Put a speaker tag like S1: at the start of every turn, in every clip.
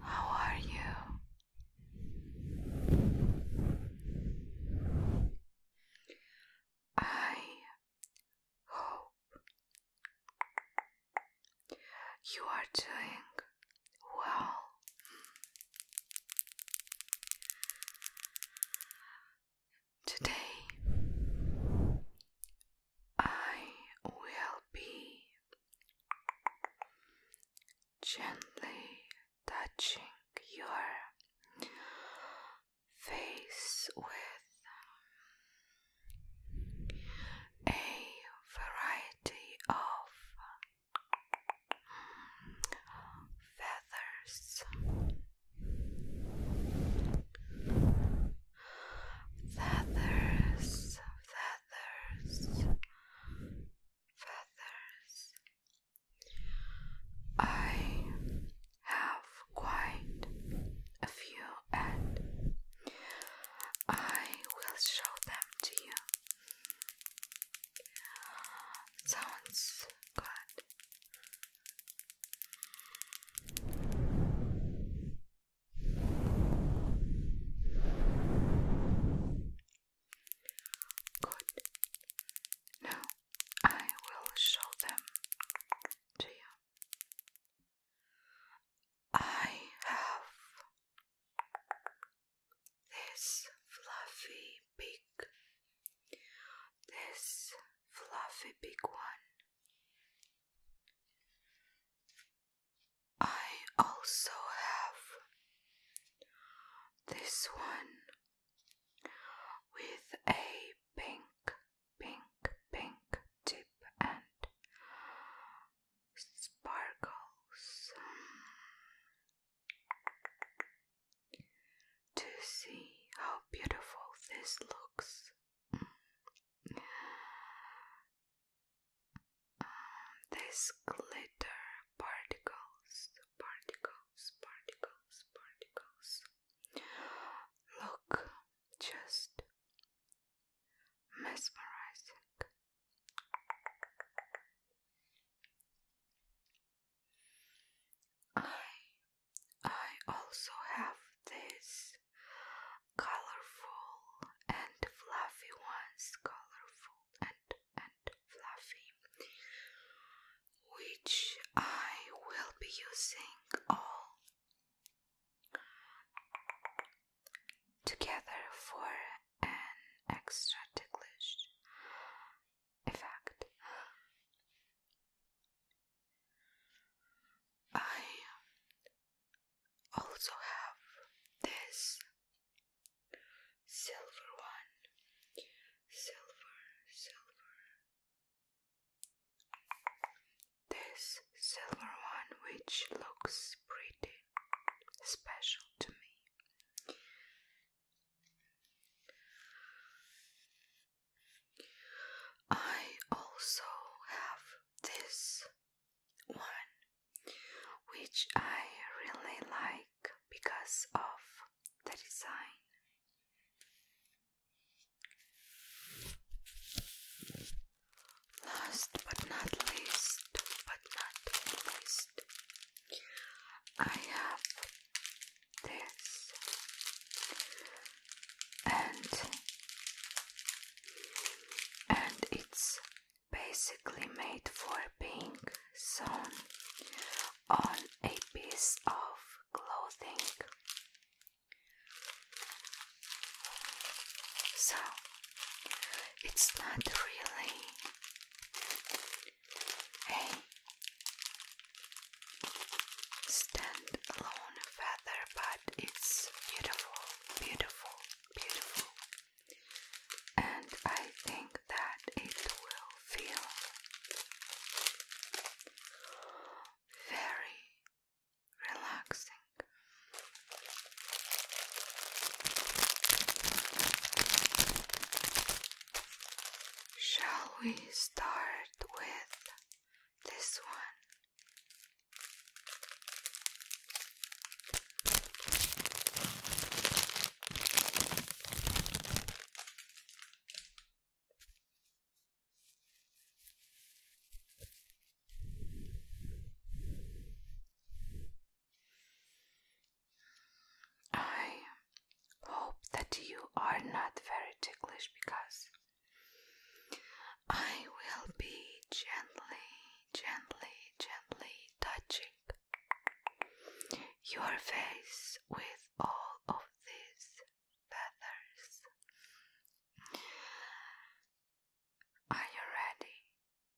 S1: How are you? I hope you are doing Wow. Today I will be gently touching your face with a variety of feathers feathers feathers feathers I have quite a few and I will show them to you sounds good. Good. Now I will show them to you. I have this fluffy big, this fluffy big one. I also have this one with a pink, pink, pink tip and sparkles to see how beautiful this looks. Mm. These glitter particles, particles, particles, particles look just mesmerizing. I I also have this colorful and fluffy ones, colorful and and fluffy, which I will be using all together for an extra ticklish effect. I also have this silver one, silver, silver, this silver one, which looks pretty special to me. I also have this one which I really like because of the design. Last but not least, but not least, I have this, and and it's basically made for being sewn on a piece of clothing. So it's not really. Hey. Stand feather, but it's beautiful, beautiful, beautiful. And I think that it will feel very relaxing. Shall we start with this one? I hope that you are not very ticklish because I will be gently, gently, gently touching your face with all of these feathers. Are you ready?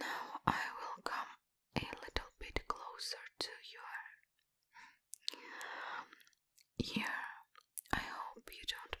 S1: Now I will come a little bit closer to your ear. I hope you don't mind.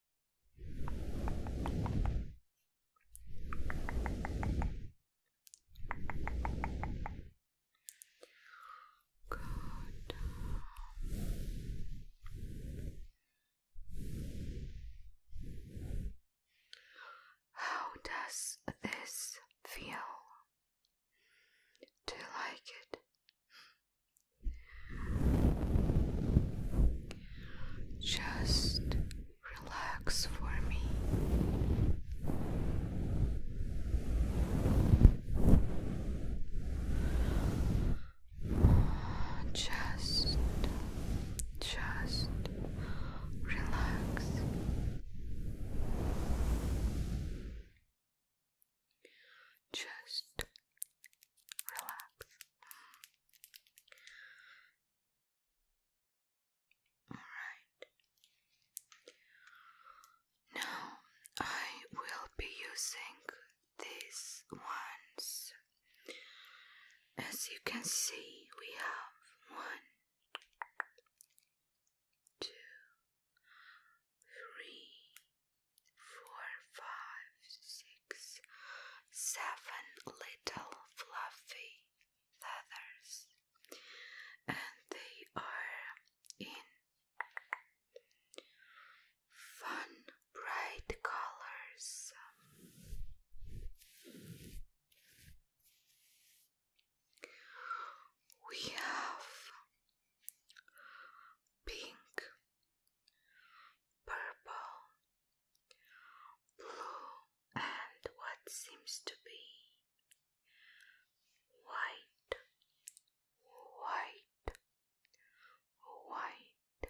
S1: Good. How does this feel? Do you like it? Just relax for me. Just, just relax. Just relax. Alright. Now I will be using these ones. As you can see, we have one, two, three, four, five, six, seven little fluffy feathers, and they are in fun, bright colors. We have pink, purple, blue, and what seems to be white, white, white.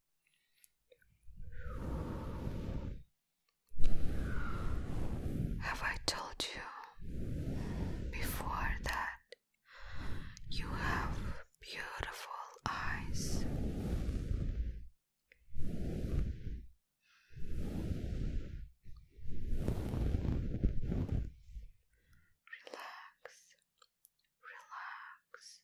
S1: Have I told you before that you have beautiful eyes? Relax, relax,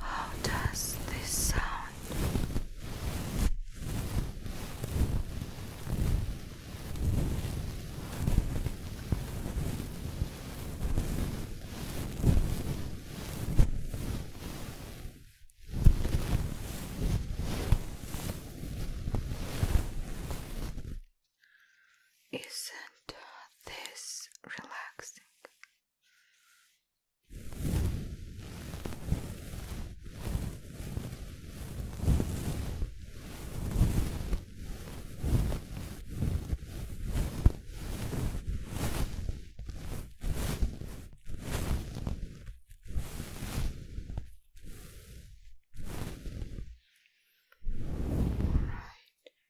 S1: How does this sound? Isn't this relaxing? All right.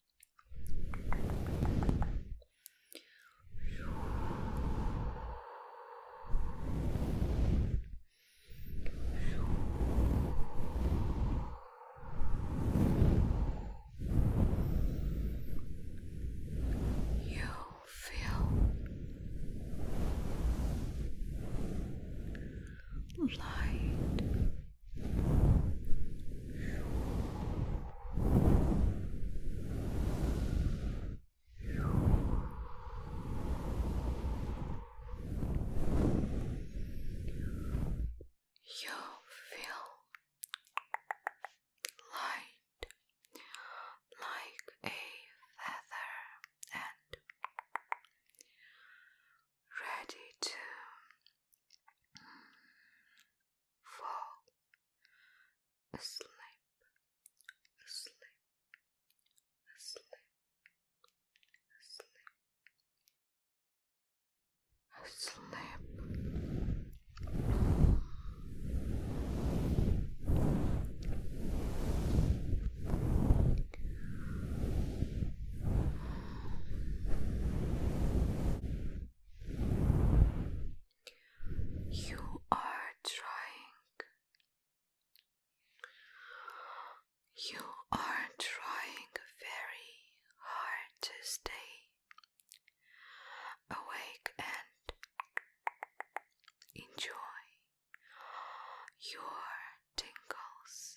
S1: You feel light you feel light like a feather and ready to fall asleep, asleep, asleep, asleep, asleep. Asleep. You are trying. You are trying very hard to stay awake and enjoy your tingles.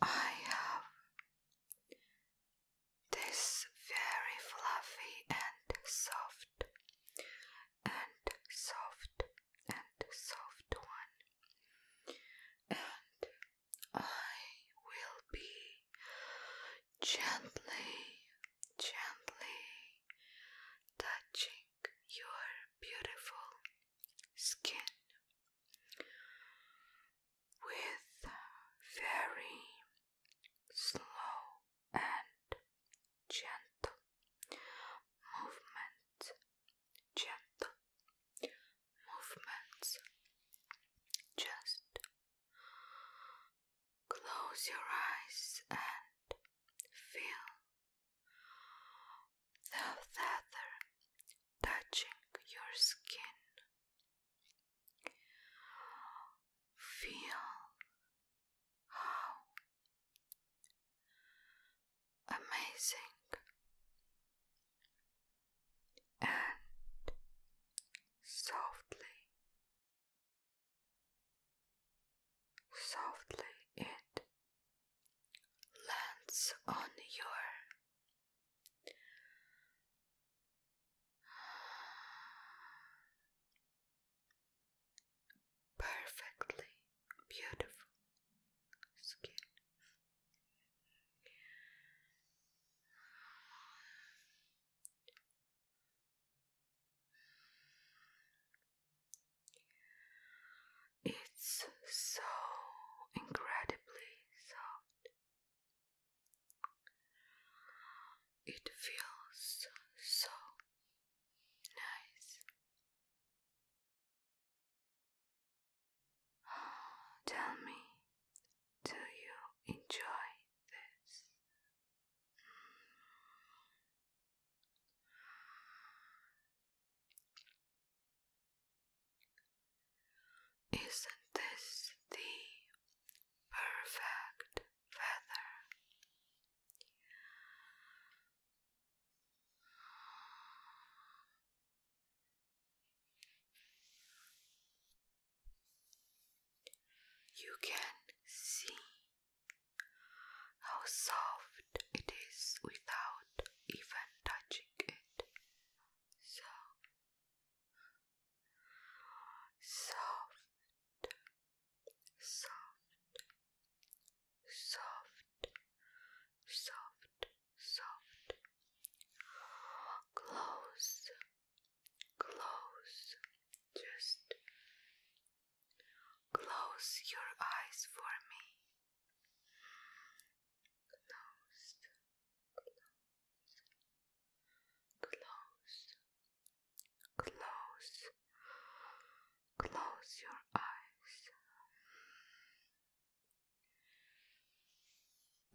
S1: Now I have this very fluffy and soft and soft and soft one, and I will be gently, gently touching your beautiful skin with very slow and gentle movement, gentle movements. Just close your eyes and feel the feather touching your skin. Feel how amazing and softly, softly it lands on your Perfectly beautiful skin. It's so incredibly soft. It feels so nice. Tell me, do you enjoy this? Isn't this the perfect feather? You can see how soft it is without even touching it so soft, soft, soft, soft, soft, close, close, just close your eyes for me closed, close, close, close your eyes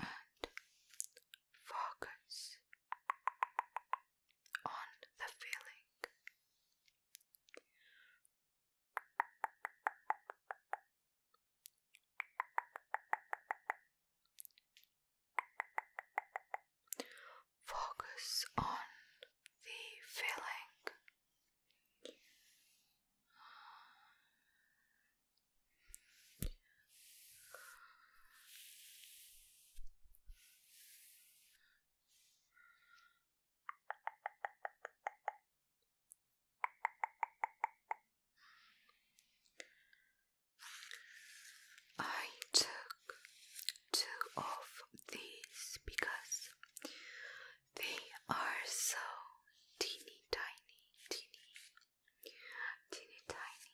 S1: and focus on the feeling. Focus on the feeling. I took two of these because they are so teeny tiny, teeny, teeny tiny.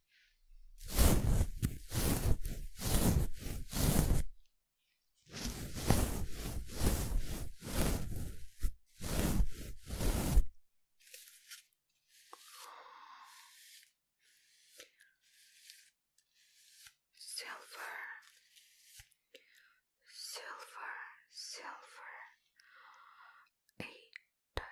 S1: Silver, silver, silver, eight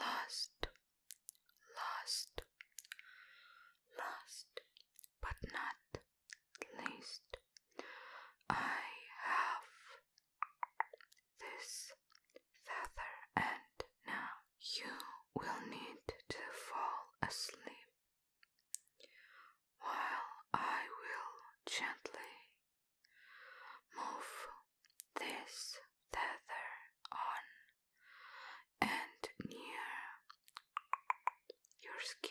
S1: lost, lost, lost, but not least. I have this feather, and now you will need to fall asleep while I will gently move this tether on and near your skin.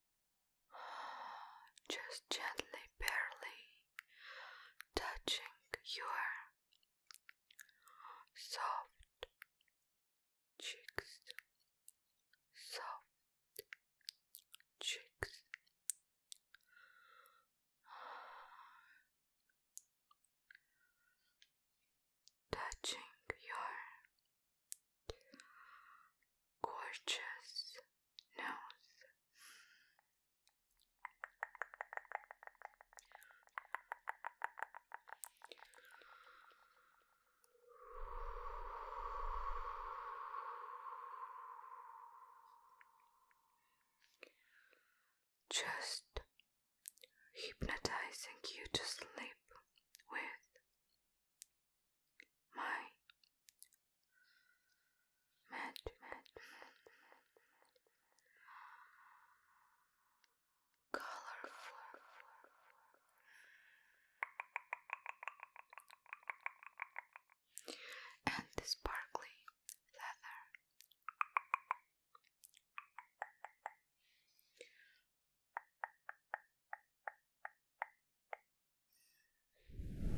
S1: just gently, barely touching your soft cheeks, soft cheeks. Touching your gorgeous no, Just hypnotizing you to sleep with my magic, magic, magic, magic. colorful. And the sparkly leather. Now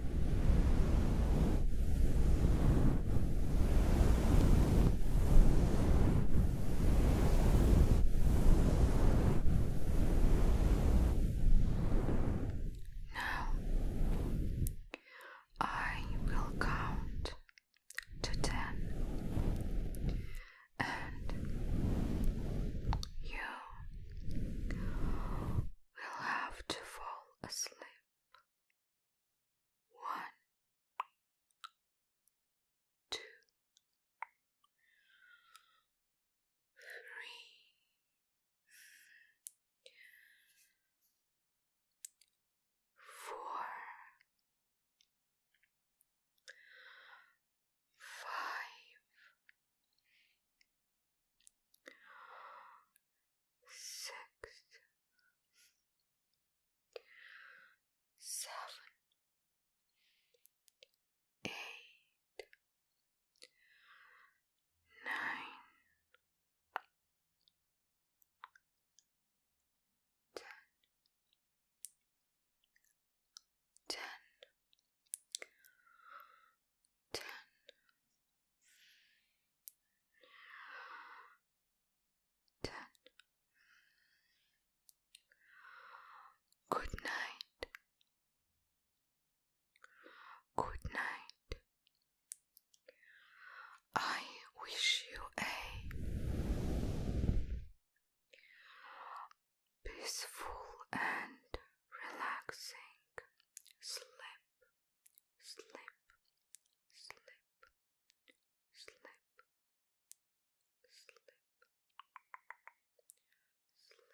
S1: I will count to ten, and you will have to fall asleep. One, two, three, four, five, six, seven, eight, nine, ten, ten ten. Good night. Good night. I wish you a peaceful and relaxing sleep, sleep, sleep, sleep, sleep, sleep.